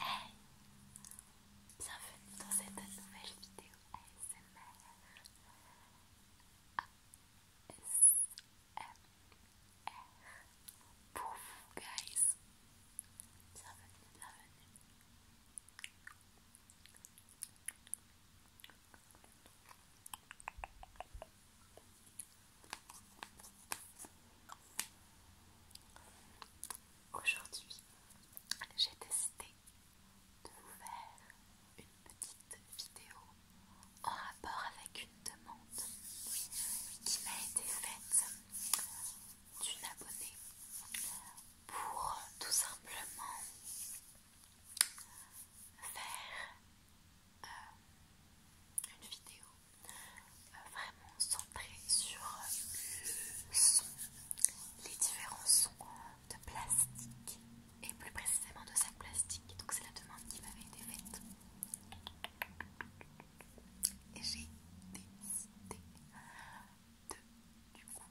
Hey Bienvenue dans cette nouvelle vidéo ASMR pour guys Aujourd'hui, j'ai décidé de vous faire une petite vidéo en rapport avec une demande qui m'a été faite d'une abonnée pour tout simplement faire euh, une vidéo euh, vraiment centré sur euh, les différents sons de plastique et plus précisément de sac plastique. Donc c'est la demande qui m'avait été faite. Et j'ai décidé de du coup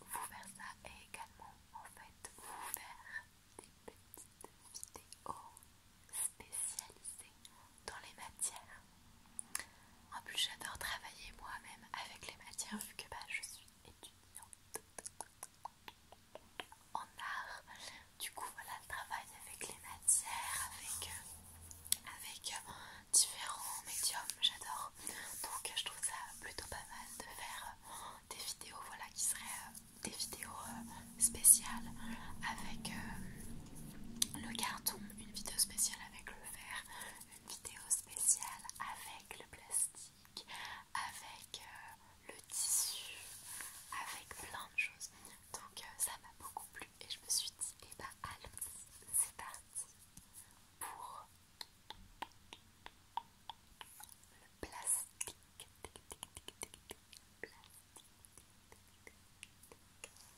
vous faire ça et également en fait vous faire des petites vidéos spécialisées dans les matières. En plus, j'adore travailler moi-même avec les matières vu que bah, je suis étudiante en art. Du coup, voilà, le travail avec les matières, avec, euh, avec euh, différents médiums, j'adore. Donc, je trouve ça plutôt pas mal de faire euh, des vidéos, voilà, qui seraient des vidéos spéciales avec le carton une vidéo spéciale avec le verre, une vidéo spéciale avec le plastique, avec euh, le tissu, avec plein de choses. Donc euh, ça m'a beaucoup plu et je me suis dit, eh bah ben, allons c'est parti pour le plastique.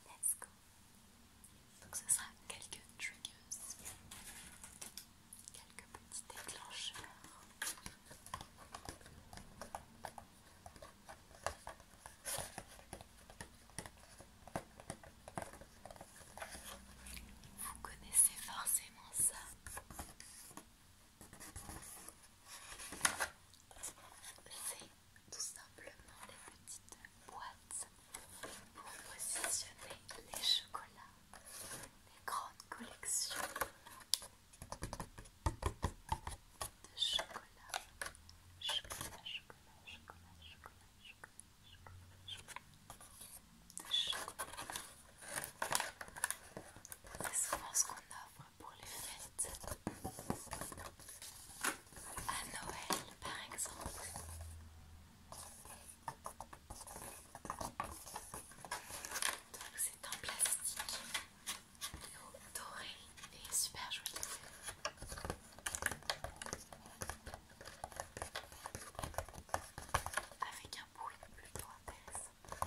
Let's go. Donc ce sera quelques triggers, quelques petits déclencheurs. Vous connaissez forcément ça. C'est tout simplement des petites boîtes pour positionner les chocolats, les grandes collections de chocolat, chocolat, chocolat, chocolat, chocolat, chocolat, chocolat, chocolat, chocolat. C'est ce qu'on offre pour les fêtes à Noël par exemple. c'est en plastique, doré et super joli. Avec un bruit plutôt intéressant.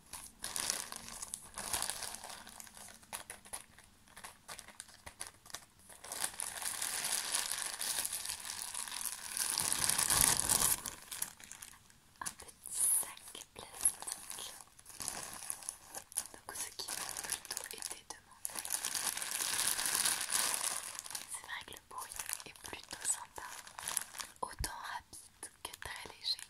Un petit sac plastique. Donc ce qui m'a plutôt été demandé. C'est vrai que le bruit est plutôt sympa. Autant rapide que très léger.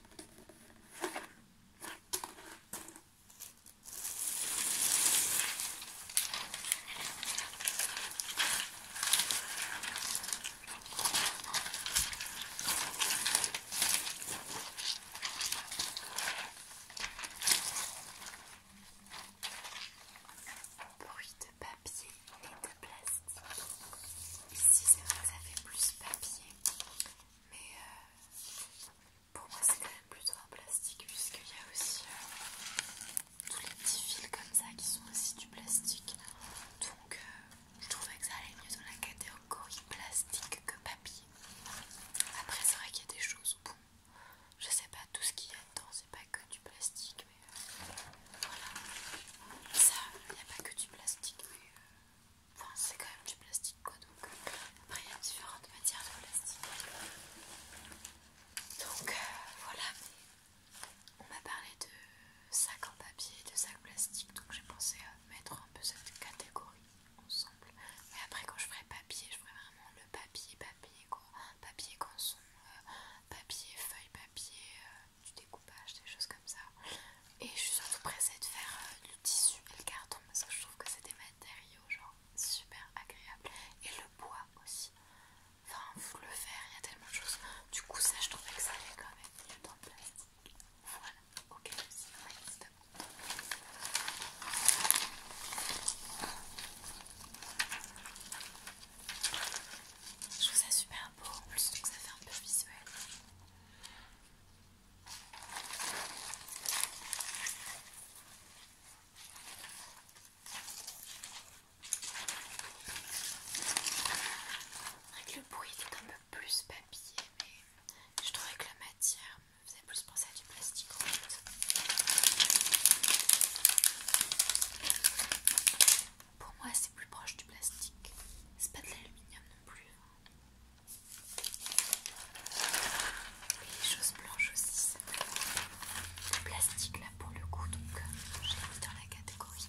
Bruit de papier et de plastique. Ici, c'est vrai, ça fait plus papier, mais euh, pour moi, c'est quand même plutôt un plastique, puisqu'il y a aussi euh, tous les petits fils comme ça qui sont aussi du plastique. Donc, euh, je trouvais que ça allait mieux dans la catégorie plastique que papier. Après, c'est vrai qu'il y a des choses, bon, je sais pas tout ce qu'il y a dedans, c'est pas que du plastique, mais voilà. Ça, il n'y a pas que du plastique, mais. Enfin, c'est quand même du plastique quoi. Donc, euh, après, il y a différentes matières de plastique. Donc, euh, voilà. On m'a parlé de sac en papier et de sac plastique. Donc, j'ai pensé à mettre un peu cette catégorie ensemble. Mais après, quand je ferai papier, je ferai vraiment le papier, papier quoi. Papier cançon euh, papier feuille, papier du découpage, des choses comme ça. Et je suis surtout pressée de faire euh, du le tissu et le carton parce que je trouve que c'est des matériaux genre super agréables. Et le bois aussi. Enfin, vous le faire, il y a tellement de choses. Du coup, ça, je trouvais que ça allait quand même mieux dans le plastique. Voilà, ok, Je trouve ça super beau en plus, donc ça fait un peu visuel. Avec le bruit est un peu plus papier, mais je trouvais que la matière me faisait plus penser à du plastique pour moi, c'est plus proche du plastique. C'est pas de l'aluminium non plus. Hein. Et les choses blanches aussi. Le plastique là pour le coup, donc euh, j'ai mis dans la catégorie.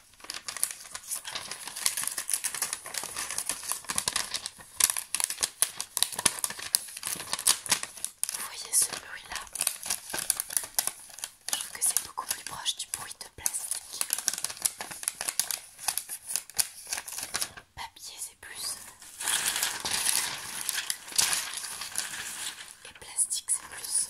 Vous voyez ce bruit-là Je trouve que c'est beaucoup plus proche du bruit de plastique. Papier, c'est plus. Euh, et plastique, c'est plus. Euh,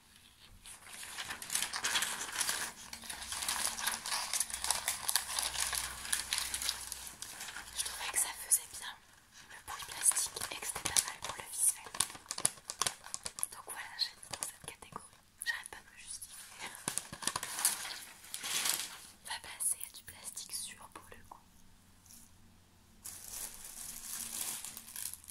Je trouvais que ça faisait bien le bruit plastique et que c'était pas mal pour le visuel. Donc voilà, j'ai mis dans cette catégorie. J'arrête pas de me justifier. On va passer à du plastique sur pour le coup.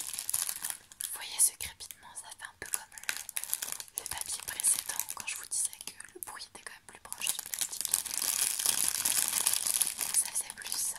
Vous voyez ce crépitement, ça fait un peu comme euh, le, papier précédent quand je vous disais que le bruit était quand même plus proche du plastique. Ça faisait plus ça.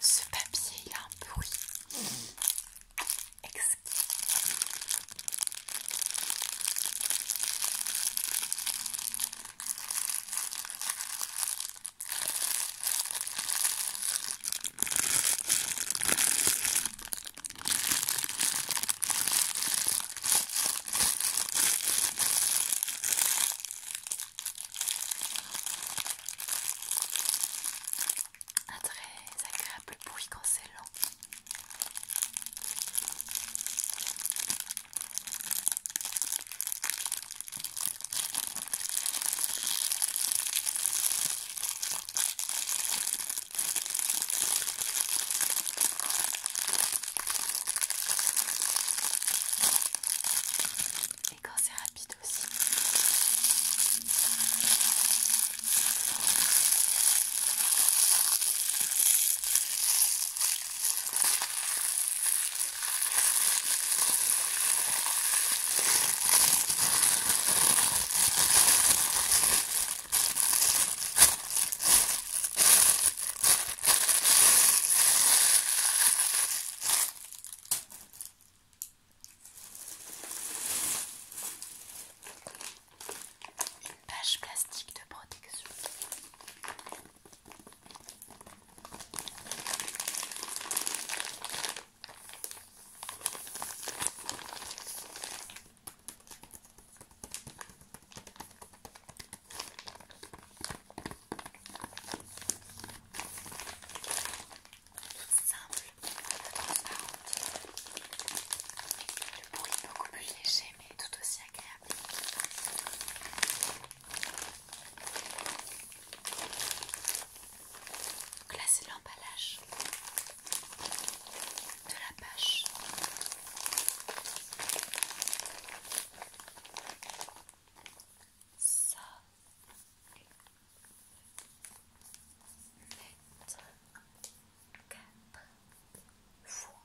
Ce papier, il a un bruit exquis. Un très agréable bruit quand c'est lent. Et quand c'est rapide aussi. Une page plastique de protection tout simple, le bruit est beaucoup plus léger mais tout aussi agréable. Donc l'emballage de la pêche Ça fois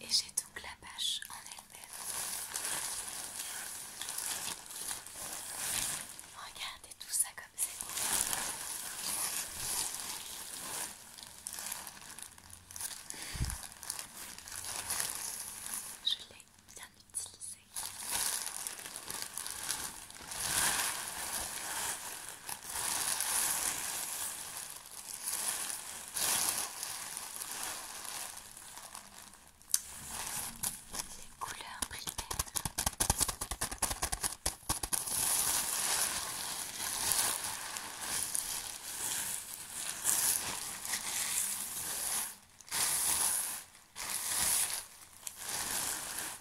Et j'ai donc la bâche en elle-même. Regardez tout ça comme c'est beau. Je l'ai bien utilisé. Les couleurs primaires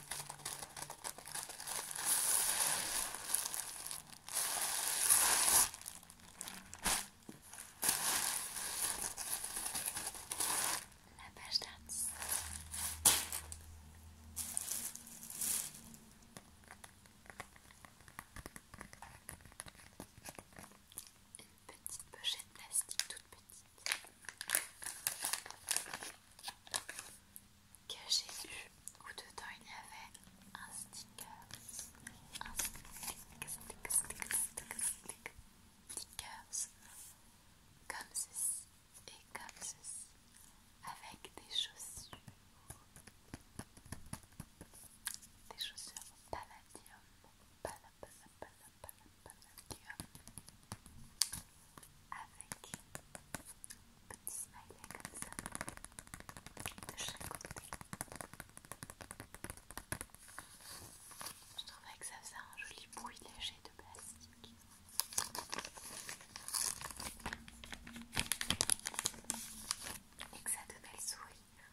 La page Une petite pochette plastique toute petite que j'ai eu où dedans il y avait un sticker, un sticker, sticker, sticker, sticker, stickers comme ceci et comme ceci avec des chaussures, des chaussures palladium, palladium, palladium avec un petit smiley comme ça de chaque côté. Je trouvais que ça faisait un joli bruit léger de plastique. Et que ça donnait le sourire.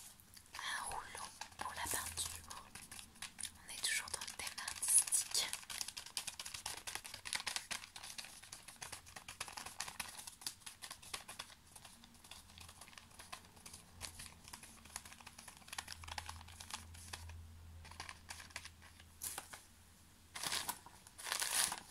un rouleau pour la peinture. On est toujours dans le thème artistique.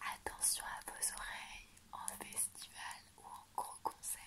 Attention à vos oreilles en festival ou en gros concert.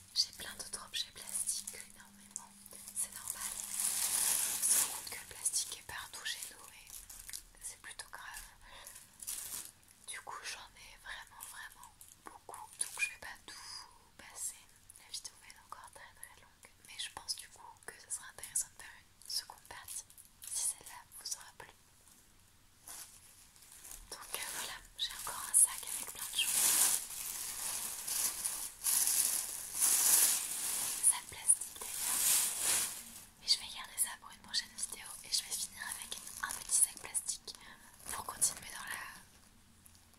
J'ai plein d'autres objets plastiques énormément, c'est normal. c'est se rend compte que le plastique est partout chez nous et c'est plutôt grave. Du coup, j'en ai vraiment, vraiment beaucoup, donc je vais pas tout passer. La vidéo va encore très très longue, mais je pense du coup que ce sera intéressant de faire une seconde partie si celle-là vous aura plu. Donc euh, voilà, j'ai encore un sac avec plein de choses. Un plastique d'ailleurs. Et je vais garder ça pour une prochaine vidéo et je vais finir avec un petit sac plastique pour continuer dans la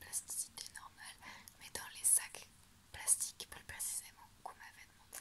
plasticité normale, mais dans les sacs plastiques plus précisément qu'on m'avait demandé.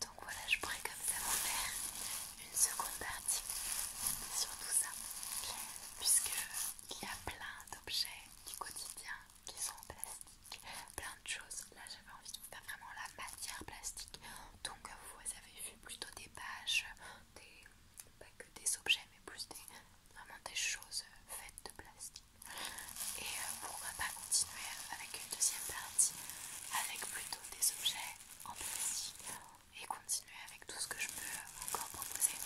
Donc voilà, je pourrais comme ça vous faire une seconde partie sur tout ça, puisque il y a plein d'objets du quotidien qui sont en plastique, plein de choses. Là j'avais envie de vous faire vraiment la matière plastique. Donc euh, vous avez vu plutôt des pages, des, pas que des objets mais plus des, vraiment des choses faites de plastique. Et euh, pourquoi pas continuer avec une deuxième partie avec plutôt des objets en plastique et continuer avec tout ce que je peux encore proposer.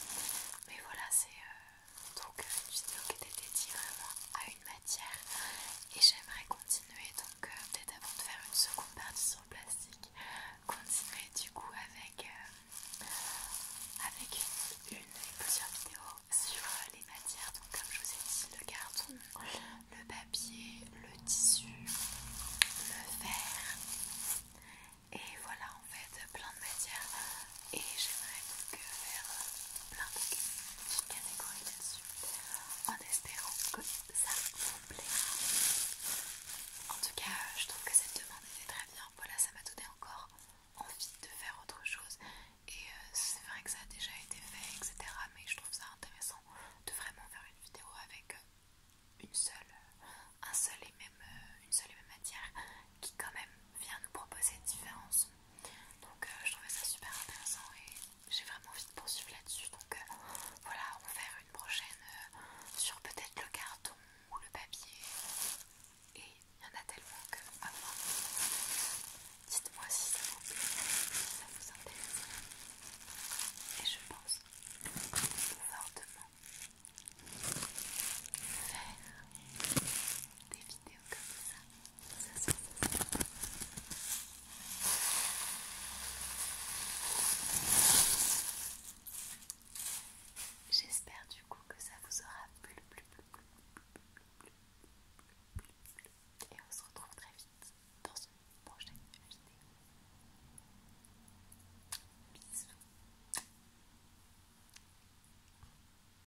Mais voilà c'est... Euh, donc une euh, vidéo qui était dédiée vraiment à une matière et j'aimerais continuer donc euh, peut-être avant de faire une seconde partie sur le plastique continuer du coup avec euh, avec une, et plusieurs vidéos sur les matières donc comme je vous ai dit le carton le papier le tissu le verre et voilà en fait plein de matières et j'aimerais donc faire plein de catégories là-dessus en espérant que ça vous plaira. En tout cas, je trouve que cette demande était très bien. Voilà, ça m'a donné encore envie de faire autre chose. Et euh, c'est vrai que ça a déjà été fait, etc. Mais je trouve ça intéressant de vraiment faire une vidéo avec euh, une seule, un seul et même, euh, une seule et même matière qui quand même vient nous proposer différence Donc euh, je trouvais ça super intéressant et j'ai vraiment envie de poursuivre là-dessus. Donc euh, voilà, on va faire une prochaine euh, sur peut-être le carton ou le papier. Et il y en a tellement que à voir. Dites-moi si ça vous plaît, si ça vous intéresse. Et je pense fortement faire des vidéos comme ça. J'espère du coup que ça vous aura plu. Et on se retrouve très vite dans une prochaine vidéo. Bisous.